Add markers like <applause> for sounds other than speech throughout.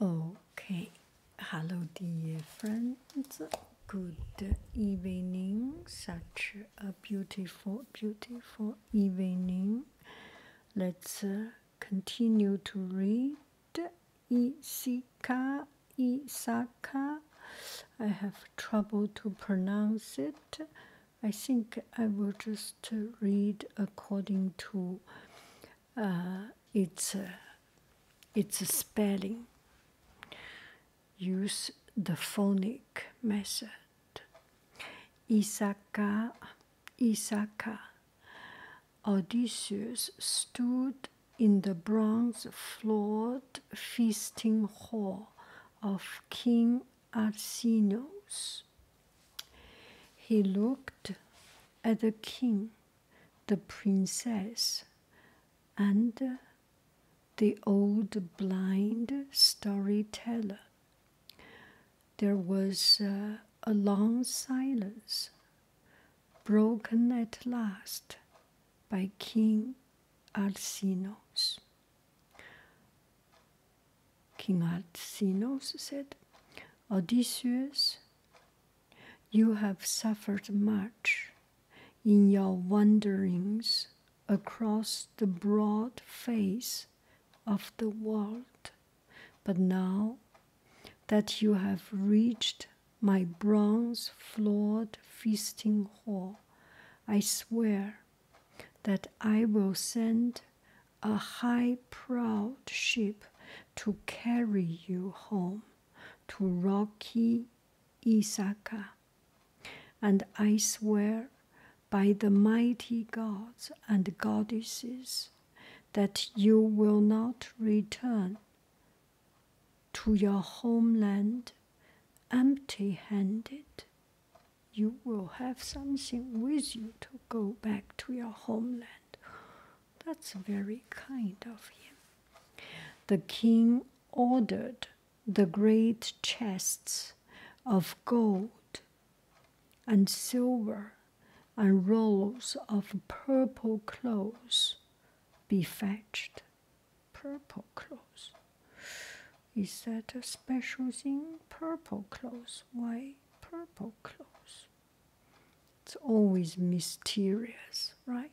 Okay, hello dear friends. Good evening. Such a beautiful, beautiful evening. Let's uh, continue to read Isika Isaka. I have trouble to pronounce it. I think I will just read according to uh, it's a, it's a spelling. Use the phonic method. Isaka, Isaka. Odysseus stood in the bronze floored feasting hall of King Arsinoe's. He looked at the king the princess and the old blind storyteller. There was uh, a long silence, broken at last by King Alcinous. King Alcinous said, Odysseus, you have suffered much in your wanderings across the broad face of the world, but now that you have reached my bronze floored feasting hall, I swear that I will send a high proud ship to carry you home to rocky Isaka. And I swear by the mighty gods and goddesses that you will not return to your homeland empty handed. You will have something with you to go back to your homeland. That's very kind of him. The king ordered the great chests of gold and silver and rolls of purple clothes be fetched. Purple clothes. Is that a special thing? Purple clothes. Why purple clothes? It's always mysterious, right?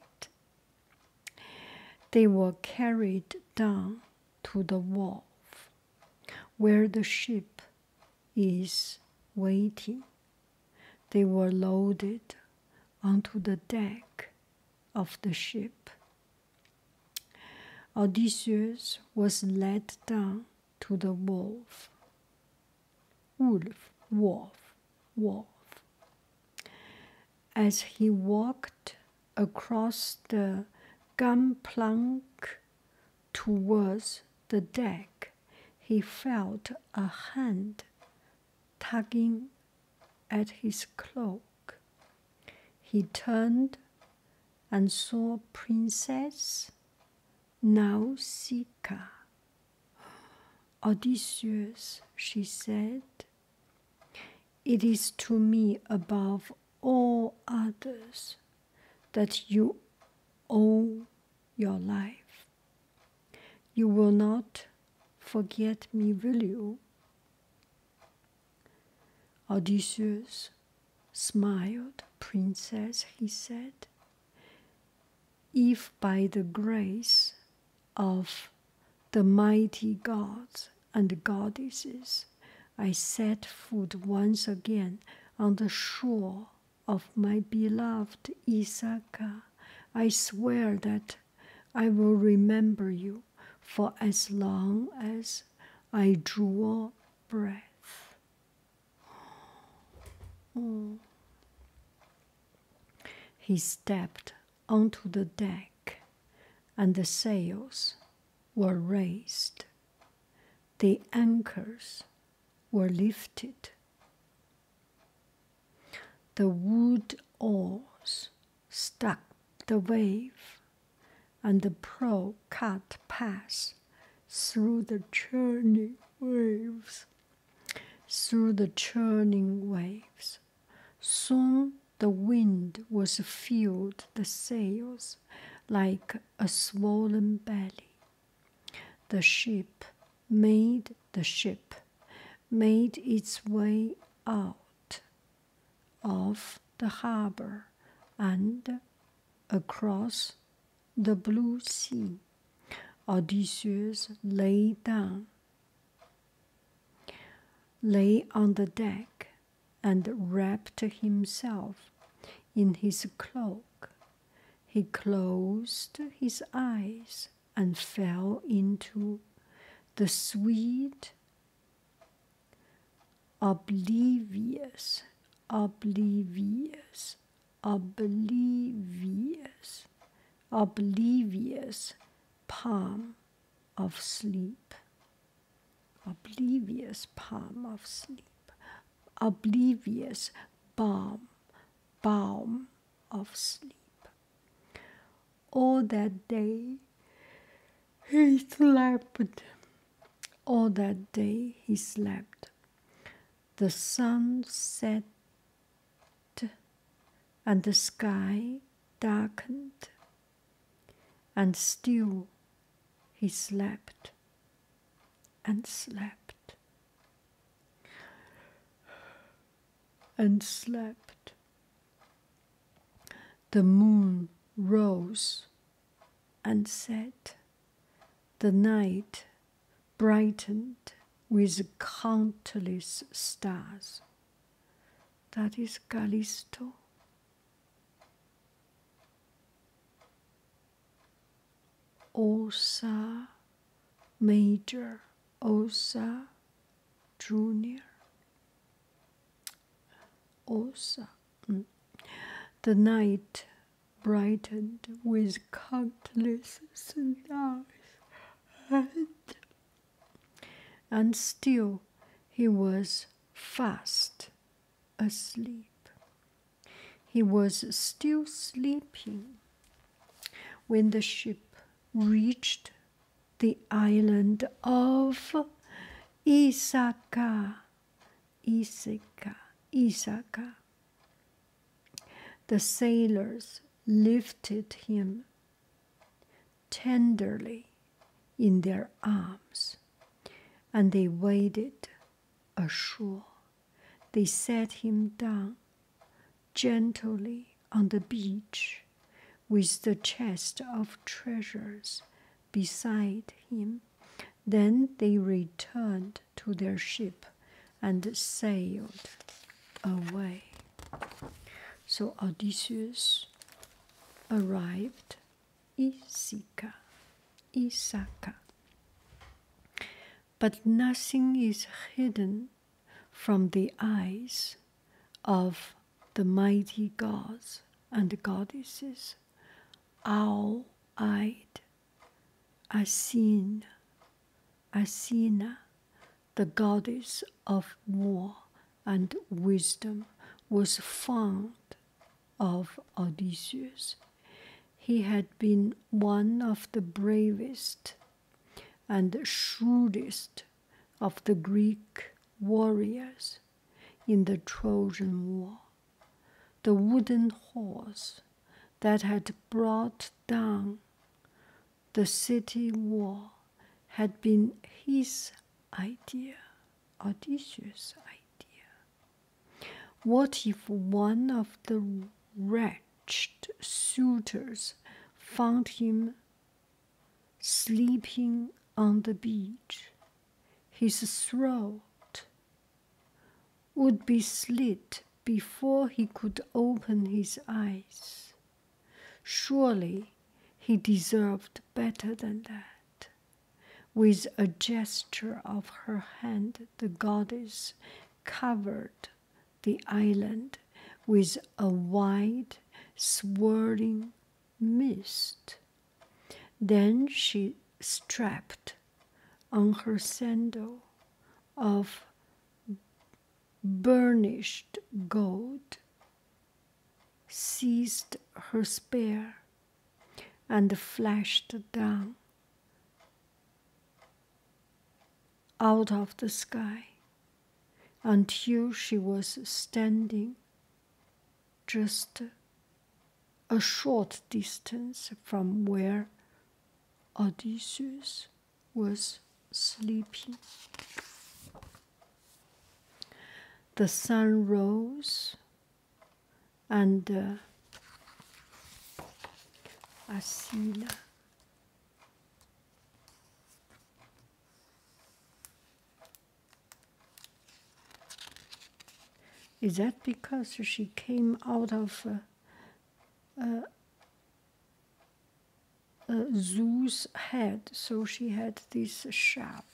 They were carried down to the wharf where the ship is waiting. They were loaded onto the deck of the ship. Odysseus was led down to the wolf. Wolf, wolf, wolf. As he walked across the gun plank towards the deck, he felt a hand tugging at his cloak. He turned and saw Princess Nausicaa. Odysseus, she said, it is to me above all others that you owe your life. You will not forget me, will you? Odysseus smiled, Princess, he said, if by the grace of the mighty gods and goddesses I set foot once again on the shore of my beloved Isaka, I swear that I will remember you for as long as I draw breath. He stepped onto the deck, and the sails were raised. The anchors were lifted. The wood oars struck the wave, and the prow cut past through the churning waves. Through the churning waves. Soon the wind was filled the sails like a swollen belly. The ship made the ship made its way out of the harbor and across the blue sea. Odysseus lay down, lay on the deck, and wrapped himself in his cloak. He closed his eyes and fell into the sweet, oblivious, oblivious oblivious, oblivious palm of sleep. Oblivious palm of sleep. Oblivious balm, balm of sleep. All that day he slept. All that day he slept. The sun set and the sky darkened, and still he slept and slept and slept. The moon rose and said, The night brightened with countless stars. That is Callisto. Osa Major, Osa Junior, Osa. Mm. The night brightened with countless stars, and, and still he was fast asleep. He was still sleeping when the ship reached the island of Isaka Isaka, Isaka. The sailors lifted him tenderly in their arms, and they waded ashore. They set him down gently on the beach with the chest of treasures beside him. Then they returned to their ship and sailed away. So Odysseus arrived Isika, Isaka. But nothing is hidden from the eyes of the mighty gods and goddesses, owl eyed Athena, the goddess of war and wisdom, was fond of Odysseus. He had been one of the bravest and shrewdest of the Greek warriors in the Trojan War the wooden horse that had brought down the city wall had been his idea, Odysseus' idea. What if one of the wretched suitors found him sleeping on the beach, his throat would be slit before he could open his eyes. Surely he deserved better than that. With a gesture of her hand, the goddess covered the island with a wide, swirling mist. Then she strapped on her sandal of burnished gold, seized her spear, and flashed down out of the sky until she was standing just a short distance from where Odysseus was sleeping. The sun rose, and uh, Asina is that because she came out of uh, uh, Zeus' head, so she had this sharp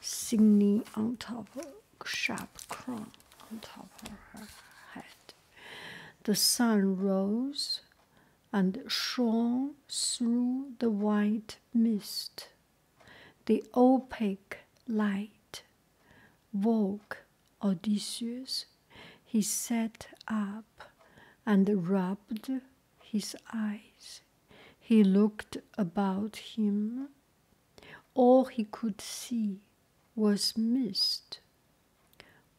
signy on top, sharp crown on top of her head? The sun rose and shone through the white mist the opaque light woke Odysseus. He sat up and rubbed his eyes. He looked about him. All he could see was mist.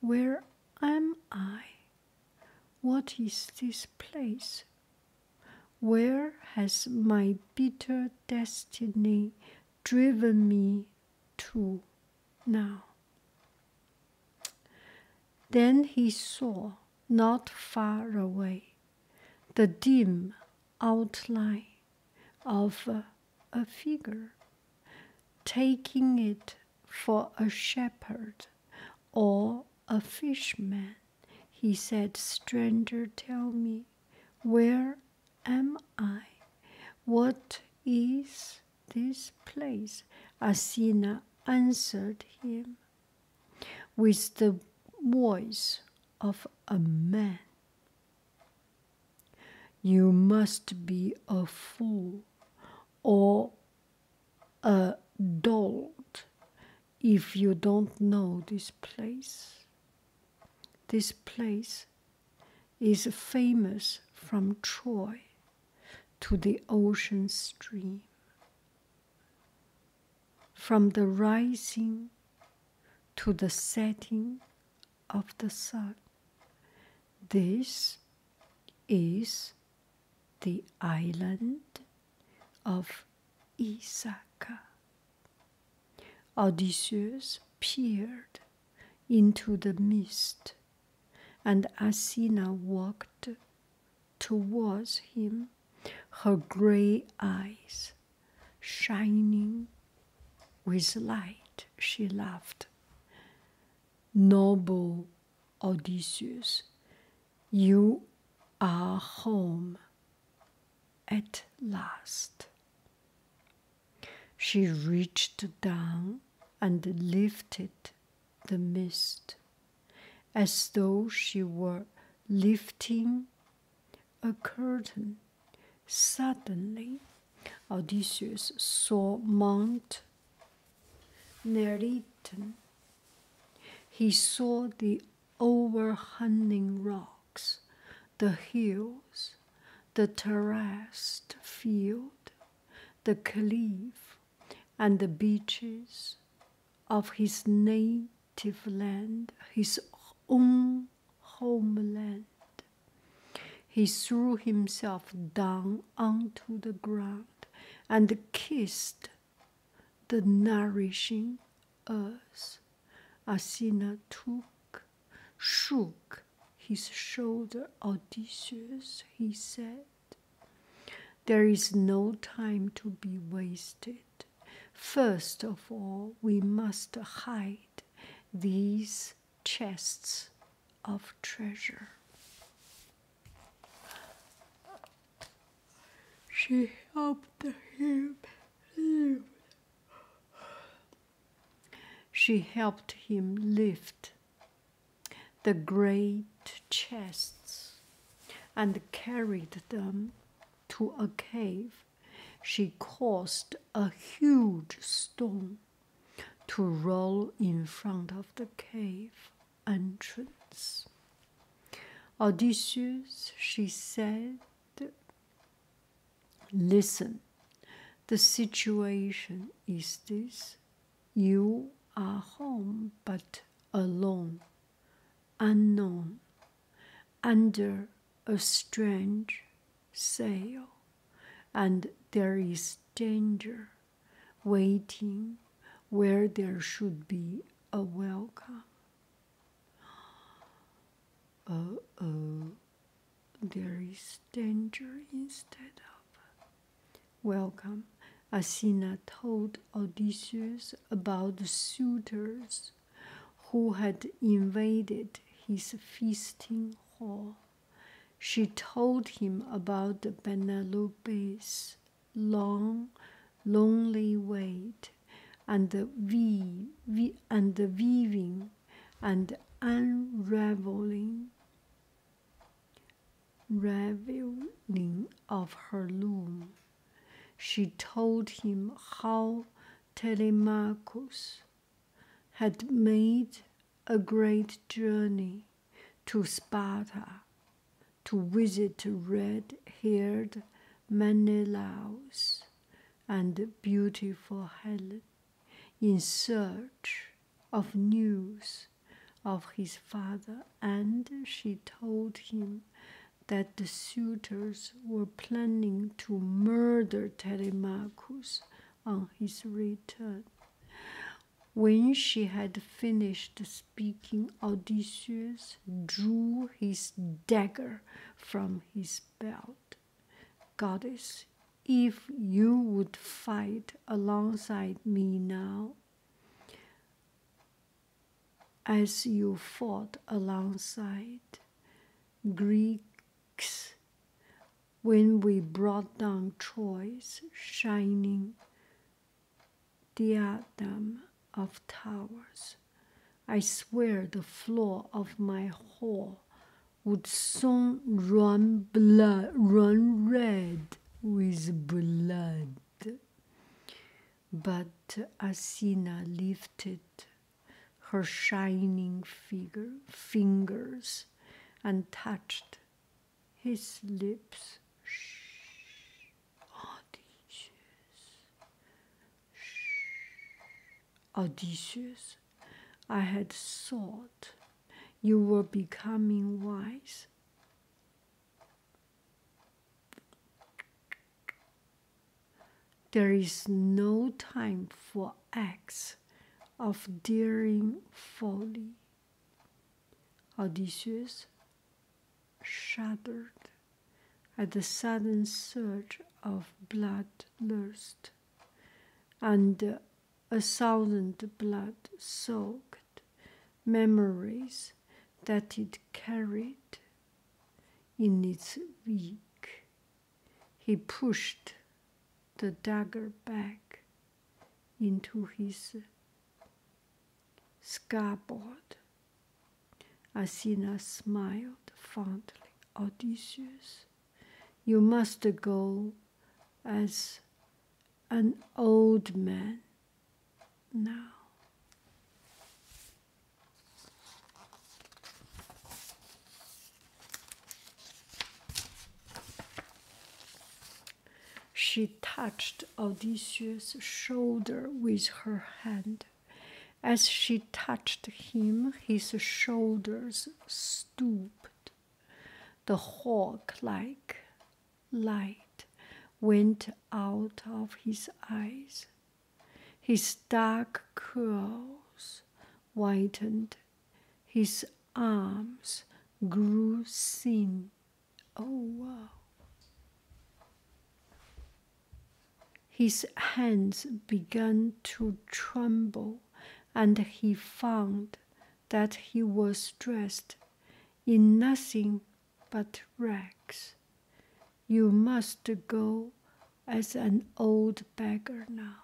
Where am I? What is this place? Where has my bitter destiny driven me to now. Then he saw, not far away, the dim outline of a, figure, taking it for a shepherd or a fishman. He said, Stranger, tell me, where am I? What is this place? Asina answered him with the voice of a man. You must be a fool or a dolt if you don't know this place. This place is famous from Troy to the ocean stream, from the rising to the setting of the sun. This is the island of Isaka. Odysseus peered into the mist, and Athena walked towards him, her grey eyes shining with light. She laughed. Noble Odysseus, you are home at last. She reached down and lifted the mist as though she were lifting a curtain. Suddenly, Odysseus saw Mount Neriton. He saw the overhanging rock the hills, the terraced field, the cliff, and the beaches of his native land, his own homeland. He threw himself down onto the ground and kissed the nourishing earth. Asina took, shook his shoulder audacious, he said. There is no time to be wasted. First of all, we must hide these chests of treasure. She helped him she helped him lift the great chests and carried them to a cave. She caused a huge stone to roll in front of the cave entrance. Odysseus, she said, Listen, the situation is this you are home but alone, unknown, under a strange sail, and there is danger waiting where there should be a welcome oh oh, there is danger instead of welcome. Athena told Odysseus about the suitors who had invaded his feasting hall. She told him about Penelope's long, lonely wait and the weaving and unraveling raveling of her loom. She told him how Telemachus had made a great journey to Sparta to visit red haired Menelaus and beautiful Helen in search of news of his father, and she told him that the suitors were planning to murder Telemachus on his return. When she had finished speaking, Odysseus drew his dagger from his Goddess, if you would fight alongside me now, as you fought alongside Greeks when we brought down Troy's shining diadem of towers. I swear the floor of my hall would soon run blood, run red with blood. But Asina lifted her shining figure, fingers and touched his lips. Shh. Odysseus, I had thought you were becoming wise. There is no time for acts of daring folly. Odysseus shuddered at the sudden surge of bloodlust and a thousand blood-soaked memories that it carried in its wake, He pushed the dagger back into his scabbard Asina smiled fondly. Odysseus, you must go as an old man now. She touched Odysseus' shoulder with her hand. As she touched him, his shoulders stooped. The hawk like light went out of his eyes. His dark curls whitened. His arms grew thin. Oh, his hands began to tremble, and he found that he was dressed in nothing but rags. You must go as an old beggar now.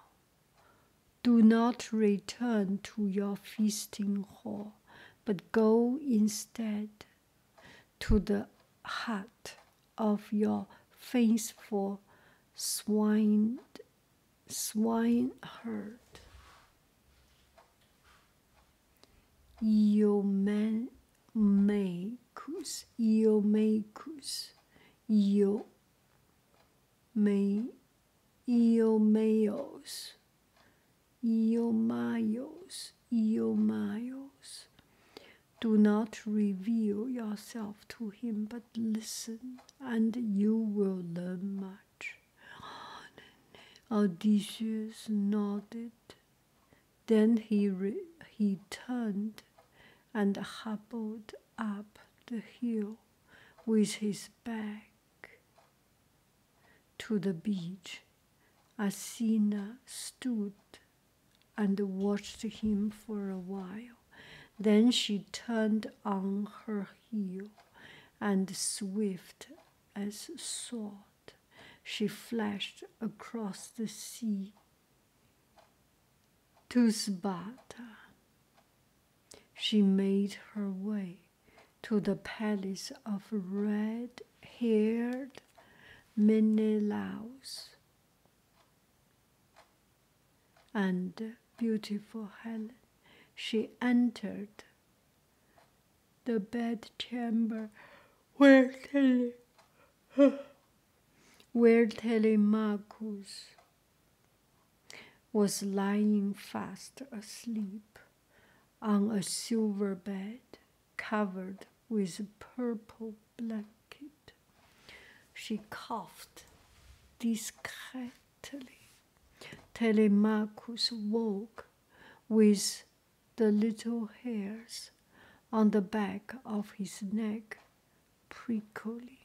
Do not return to your feasting hall, but go instead to the heart of your faithful swine men me, Iomacus, Iomacus, Iome, Iomeos, Iomaios, Iomaios, do not reveal yourself to him, but listen, and you will learn much. <gasps> Odysseus nodded. Then he, he turned and hobbled up the hill with his back to the beach. Asina stood and watched him for a while. Then she turned on her heel, and swift as a sword, she flashed across the sea to Sparta. She made her way to the palace of red haired Menelaus. And beautiful Helen, she entered the bedchamber where Tele, where Telemachus was lying fast asleep on a silver bed covered with purple blanket. She coughed discreetly. Telemachus woke with the little hairs on the back of his neck prickly.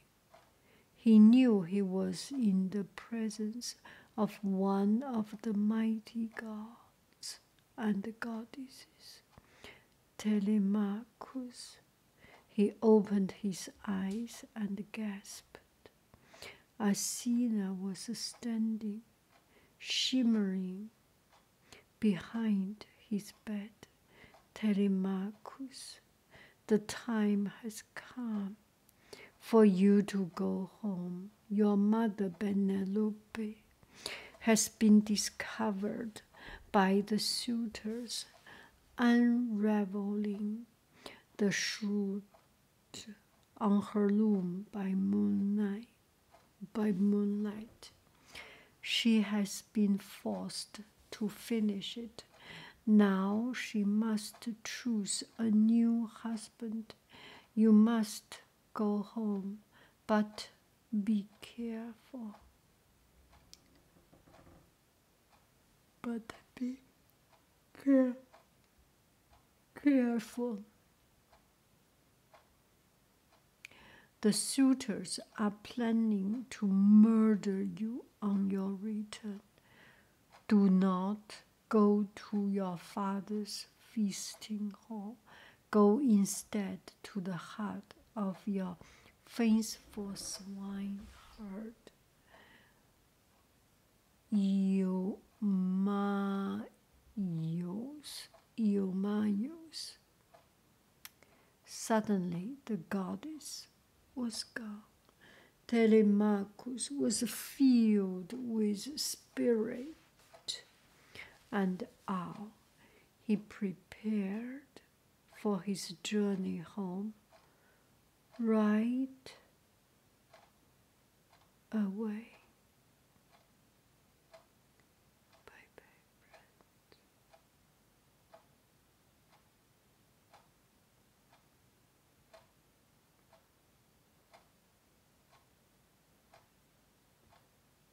He knew he was in the presence of one of the mighty gods and the goddesses. Telemachus, he opened his eyes and gasped. Asina was standing, shimmering, behind his bed. Telemachus, the time has come for you to go home. Your mother, Penelope, has been discovered by the suitors unraveling the shroud on her loom by moonlight by moonlight she has been forced to finish it now she must choose a new husband you must go home but be careful. But be careful. The suitors are planning to murder you on your return. Do not go to your father's feasting hall Go instead to the heart of your faithful swineherd. Eumaeus, Eumaeus. Suddenly the goddess was gone. Telemachus was filled with spirit and awe he prepared for his journey home right away.